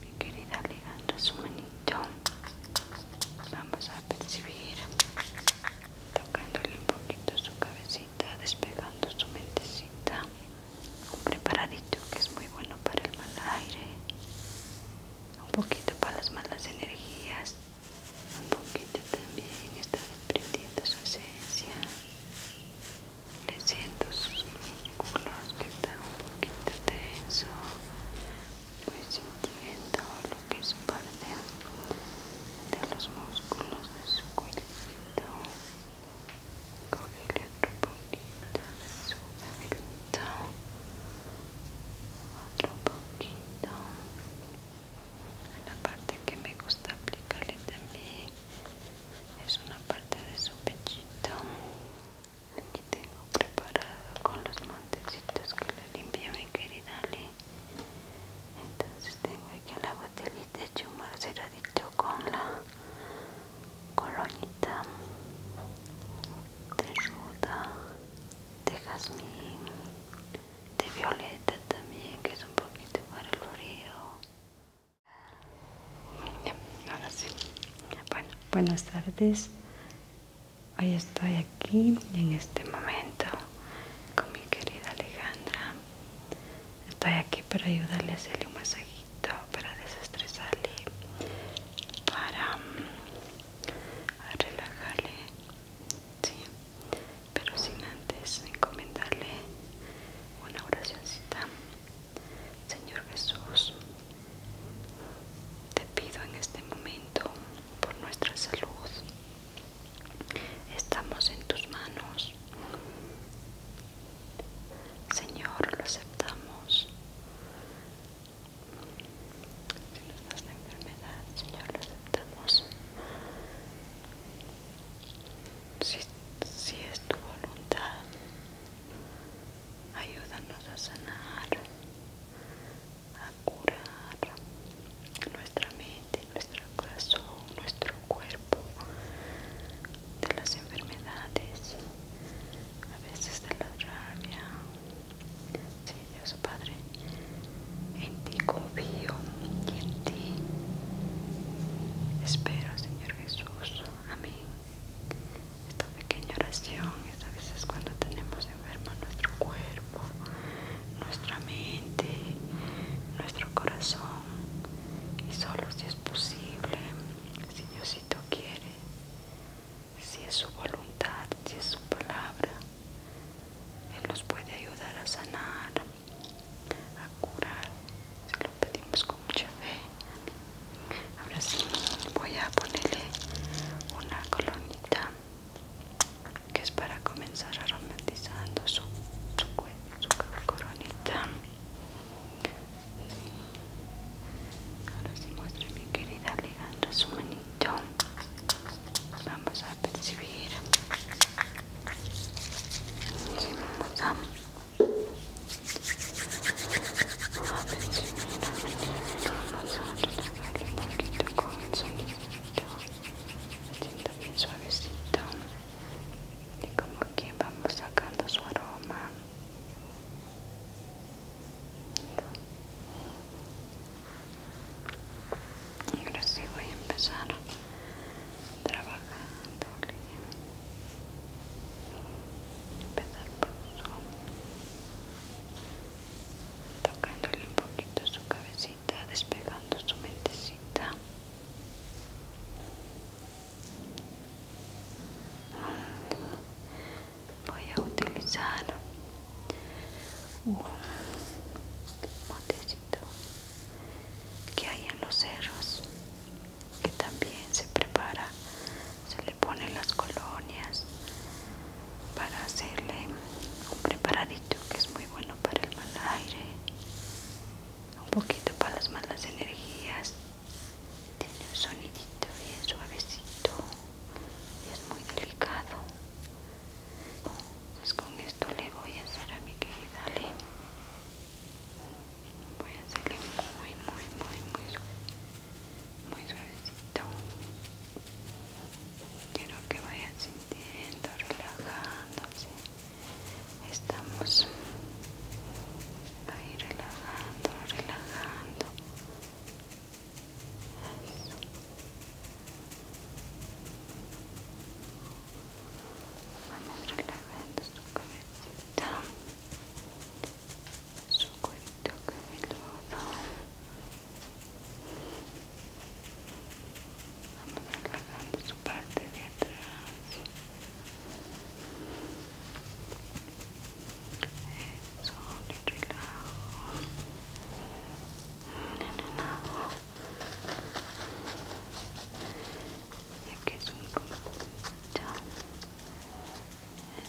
mi querida ligando su manito. Vamos a percibir tocándole un poquito su cabecita, despegando su mentecita. Un preparadito que es muy bueno para el mal aire. Un poquito para las malas energías. Un poquito también está desprendiendo su esencia le siento sus músculos que están un poquito tenso voy pues, sintiendo lo que es parte de los músculos de su cuello coge otro poquito su otro poquito la parte que me gusta aplicarle también es una parte de su pechito Aquí tengo preparado con los montecitos que le limpié mi querida Ale. Entonces tengo aquí la botellita será dicho con la colonita de ruda, de jazmín, de violeta también que es un poquito para el frío. Bueno, buenas tardes. Hoy estoy aquí en este momento con mi querida Alejandra. Estoy aquí para ayudarle a hacerle un masajito, para desestresarle, para mm, relajarle. pero sin antes encomendarle una oracioncita Señor Jesús, te pido en este momento por nuestra salud. Estamos en tus manos. Señor, lo aceptamos. Si nos das la enfermedad, Señor, lo aceptamos. si es tu voluntad, ayúdanos a sanar, a curar nuestra mente, nuestro corazón, nuestro cuerpo de las enfermedades, a veces de la rabia. Sí, Dios Padre, en ti confío y en ti espero, Señor Jesús. Amén esta pequeña oración es a veces cuando tenemos enfermo nuestro cuerpo, nuestra mente, nuestro corazón y solo si es posible, si Diosito quiere, si es su voluntad, si es su palabra, Él nos puede ayudar a sanar, a curar, si lo pedimos con mucha fe Ahora sí, voy a ponerle una colonita que es para comenzar aromatizando su, su, coronita. Ahora sí muestre mi querida ligando su manito. Vamos a percibir bien suavecito y como que vamos sacando su aroma y ahora sí voy a empezar trabajando empezar por tocándole un poquito su cabecita despegando su mentecita voy a utilizar un motecito que hay en los cerros que también se prepara pone las colonias para hacerle un preparadito que es muy bueno para el mal aire un poquito para las malas energías tiene un sonidito bien suavecito y es muy delicado pues con esto le voy a hacer a mi querida voy a hacerle muy muy muy muy muy suavecito quiero que vaya sintiendo relajándose estamos ahí relajando relajando Eso. Vamos relajando su cabecita su que cuerito cabeludo vamos relajando su parte de atrás eso, le relajo no, no, no. ya que es un conjunto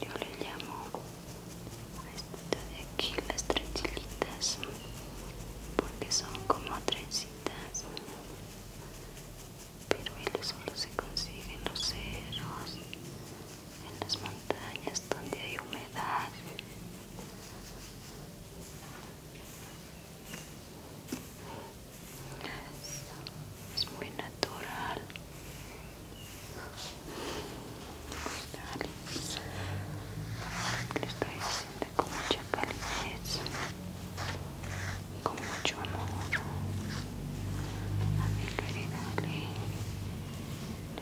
yo le llamo a esta de aquí las trenzitas porque son como trencitas pero ellos solo se consiguen los ceros en las montañas donde hay humedad es, muy natural le estoy diciendo con mucha calidez con mucho amor a mi querida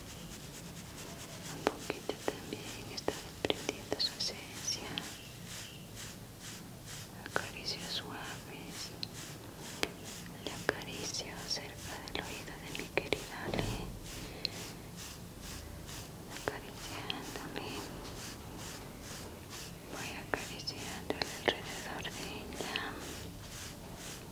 un poquito también está desprendiendo su esencia acaricio suaves le acaricio cerca del oído de mi querida Ale acariciándome voy acariciando alrededor de ella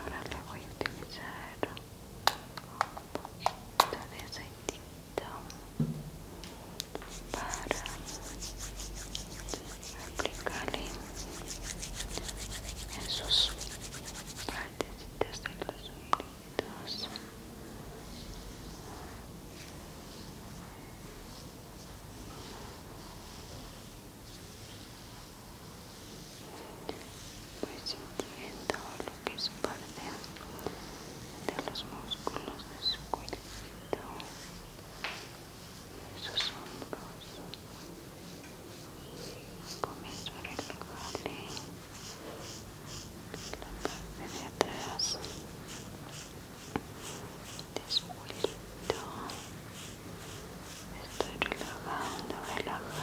Ahora le voy a utilizar un poquito de aceitito para aplicarle en sus partecitas de los oídos voy sintiendo lo que es parte de los músculos de su cuello sus hombros comienzo a relajarle la de atrás estoy relajando, relajando, relajando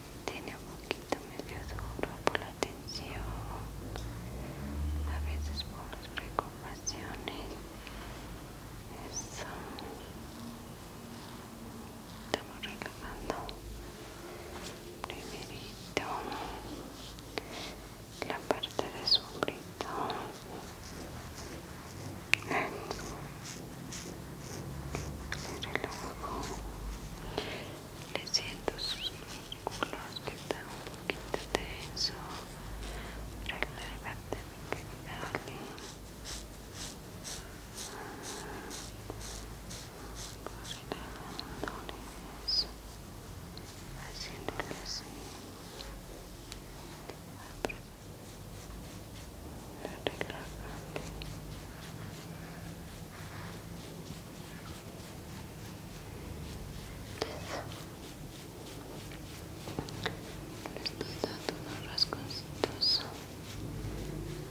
tiene un poquito medio duro por la tensión, a veces por las preocupaciones. Eso. Estamos relajando. Primerito la parte de su de le siento sus músculos que están un poquito tenso relájate mi querida Oli relajándoles haciéndole así Relájate, le estoy dando unos rasconcitos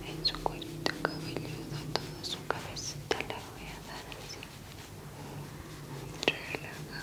en su cuerito cabelludo toda su cabecita la voy a dar así relajándole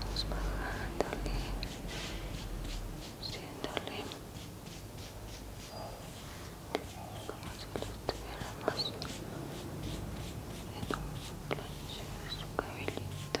Vamos bajándole, haciéndole como si lo tuviéramos en un planche de su cabellito.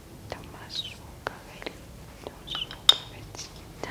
toma su cabellito, su cabecita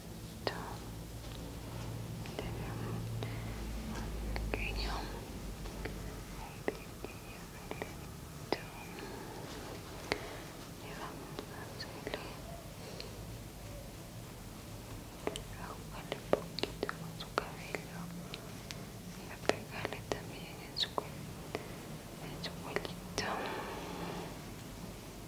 Un pequeño, un Y vamos a jugarle un poquito con su cabello y a pegarle también en su, en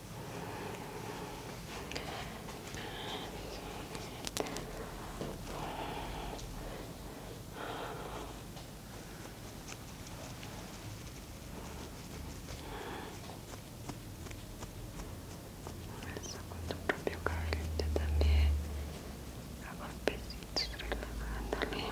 Eso con tu propio cabello también a golpecitos relajándole eso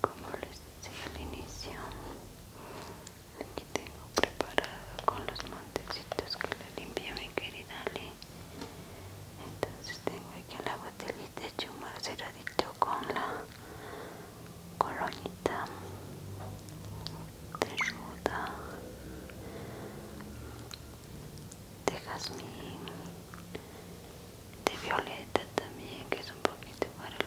como les decía al inicio Aquí tengo preparado con los montecitos que le limpié mi querida Entonces tengo aquí la botellita de chumar ceradito con la colonita de ruda, de jazmín, de violeta también que es un poquito para el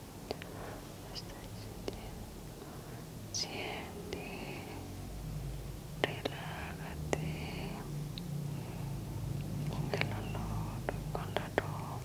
Siente, relájate con el olor con la aroma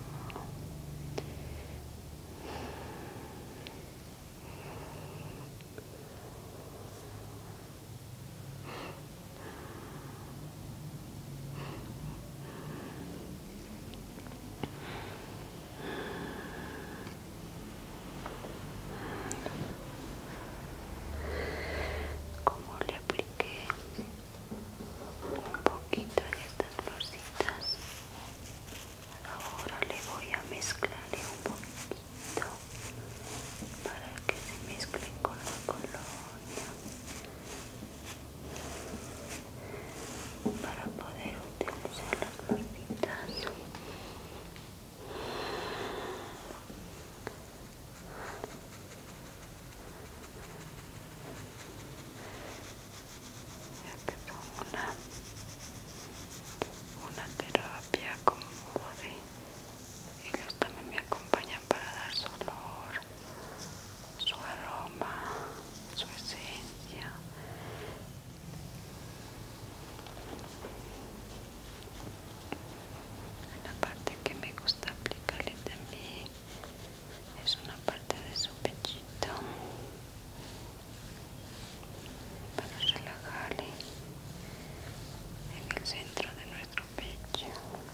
como le apliqué un poquito de estas rositas, ahora le voy a mezclar un poquito para que se mezclen con la colonia para poder utilizar las partitas ya que una una terapia como de ellos también me acompañan para dar su su aroma, su esencia. La parte que me gusta aplicarle también es una parte de su pechito para relajarle en el centro de nuestro pecho.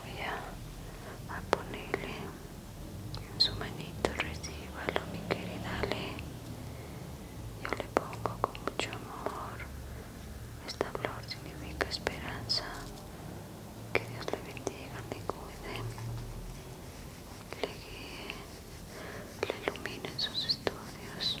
voy a, ponerle en su manito, lo mi querida Ale. Yo le pongo con mucho amor. Esta flor significa esperanza. Que Dios le bendiga, le cuide, le guíe, le ilumine en sus estudios.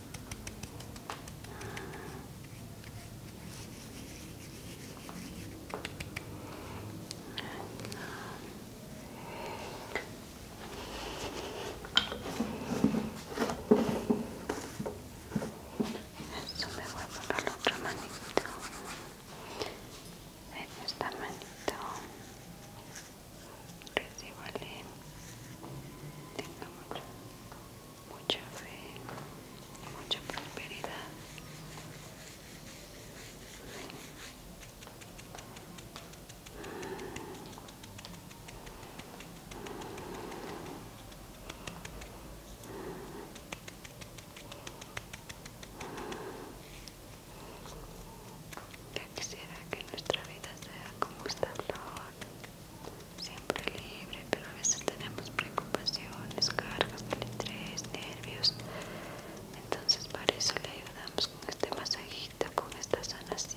Esto me voy a poner la otra manito. En esta manito. Recíbale. Tengo mucho mucha fe, mucha prosperidad. quisiera que nuestra vida sea como esta siempre libre, pero a veces tenemos preocupaciones, cargas, estrés, nervios. Entonces para eso le ayudamos con este masajita con esta sanación.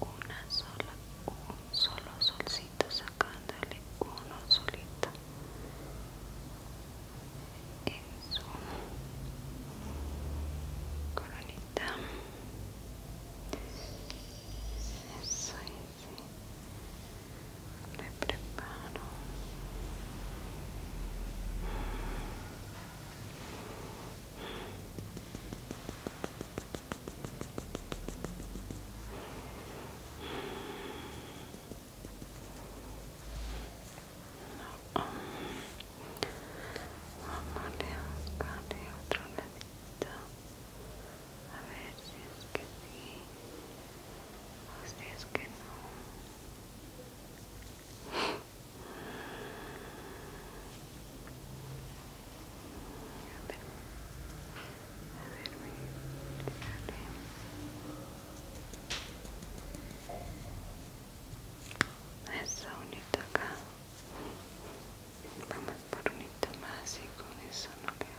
Voy una sola, un solo solcito sacándole uno solito. su Coronita. Eso le preparo no. Vamos a otro a ver si es que sí o si es que no a ver a ver A esa unito acá vamos por unito más y con eso no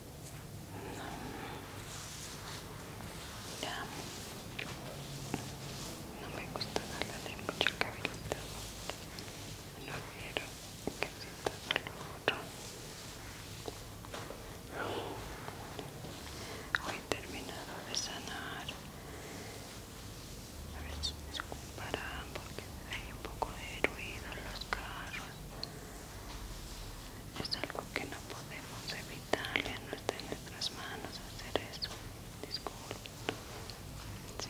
No me gusta darle mucho cabellita. No quiero que se tape Hoy he terminado de sanar. A ver si me comparan porque hay un poco de ruido en los carros. Es algo que no podemos evitar, ya no está en nuestras manos hacer eso. disculpe Sí.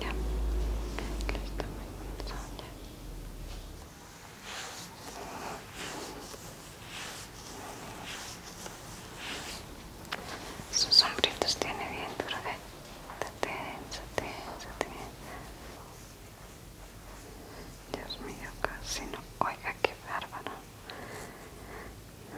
Ya. Sus sombritos tiene bien duro, ¿eh? Dios mío, casi no. Oiga, qué bárbaro.